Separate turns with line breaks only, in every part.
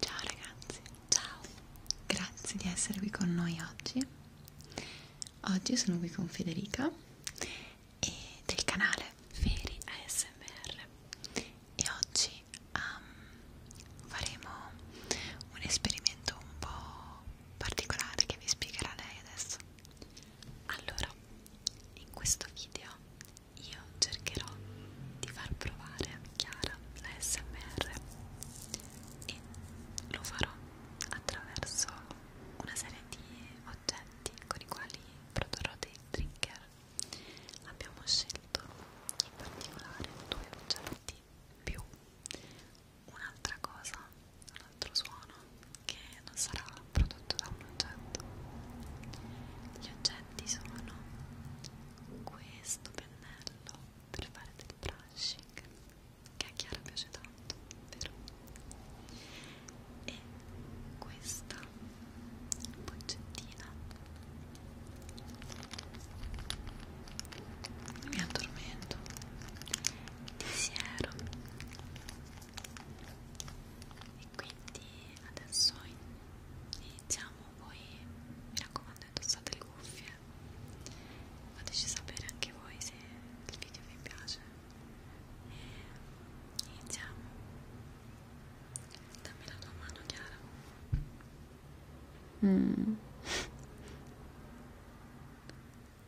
Ciao ragazzi, ciao, grazie di essere qui con noi oggi. Oggi sono qui con Federica e del canale Feri ASMR e oggi um, faremo un esperimento un po' particolare che vi spiegherà lei adesso. Allora, in questo video io cercherò di far provare a Chiara la SMR e lo farò attraverso una serie di oggetti con i quali produrrò dei trigger. Abbiamo scelto in particolare due oggetti più un'altra cosa, un altro suono che non sarà prodotto da un oggetto. Gli oggetti sono questo pennello per fare del brushing che a Chiara piace tanto, vero? E questa boccettina mi addormento pensiero e quindi adesso iniziamo poi mi raccomando indossate le cuffie fateci sapere anche voi se il video vi piace e iniziamo dammi la tua mano Chiara mm.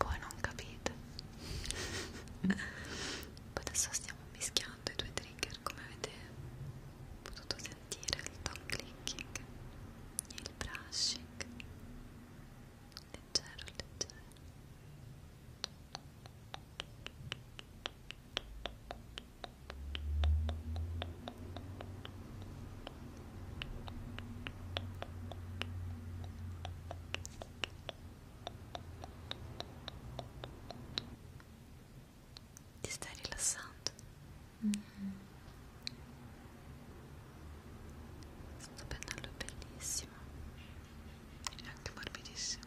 voi non capite poi adesso stiamo mischiando i due trigger come avete potuto sentire il tongue clicking e il brushing leggero leggero ti stai rilassando? Mm -hmm. Sto pennello è bellissimo e anche morbidissimo.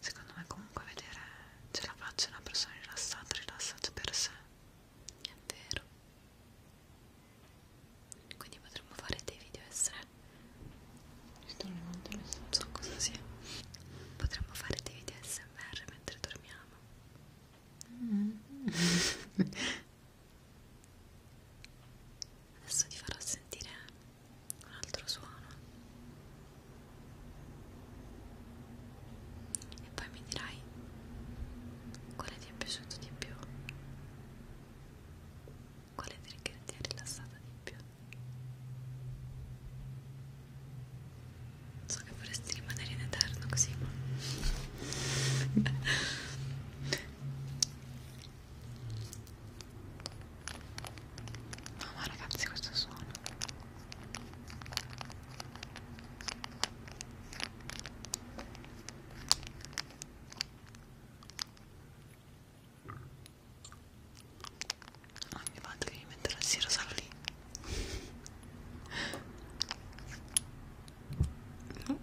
secondo me comunque vedere ce la faccia una persona rilassata, rilassata per sé è vero quindi potremmo fare dei video essere non so cosa sia potremmo fare dei video smr mentre dormiamo mm. adesso ti farò sentire un altro suono e poi mi dirai quale ti è piaciuto di più quale trigger ti ha rilassata di più so che vorresti rimanere in eterno così ma No ma ragazzi questo suono non oh, mi vado devi mettere la sera solo lì no.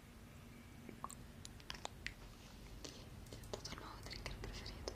è diventato il nuovo trigger preferito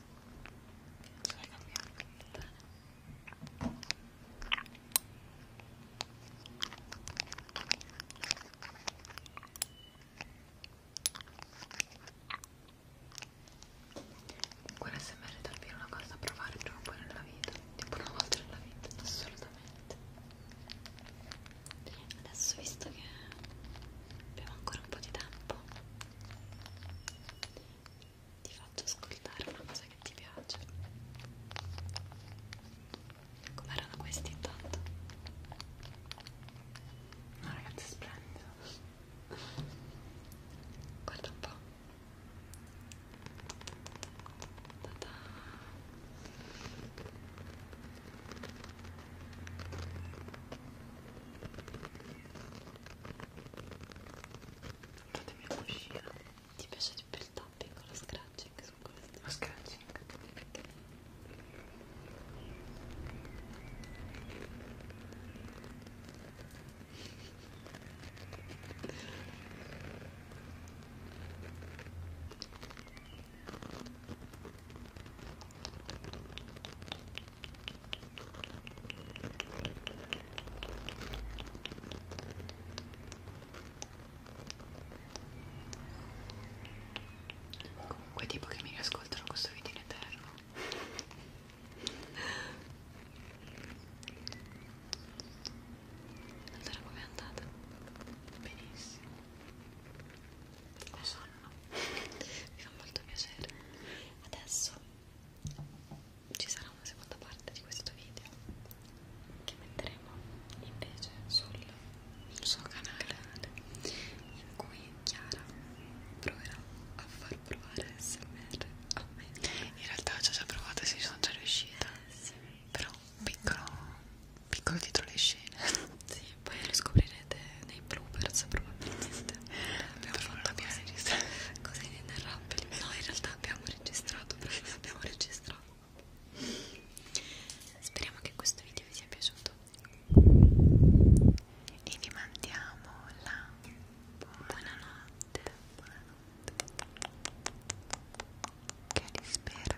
Guarda, sembra davvero una cosa da provare prima o poi nella vita, tipo una volta nella vita, assolutamente. Adesso, visto che abbiamo ancora un po' di tempo, ti faccio ascoltare una cosa che ti piace com'erano questi intanto? no ragazzi splendido guarda un po' Ta -ta. Fatemi un cuscino. Ti piace di più il tapping con lo scratching su questo? Lo scratching? Comunque tipo che mi riascoltano questo video in eterno Allora com'è andata? Benissimo lo sanno mi fa molto piacere adesso ci sarà una seconda parte di questo video che metteremo invece sul suo canale in cui Chiara proverà a far provare SMR a me in realtà ci ho già provato e ci sono già riuscita eh, sì. però piccolo piccolo dietro le scene sì poi lo scoprirete nei bloopers probabilmente abbiamo per fatto cose, cose eh. inenarrabili no in realtà abbiamo registrato perché abbiamo registrato speriamo che questo video vi sia piaciuto e vi mandiamo la buonanotte buonanotte che rispera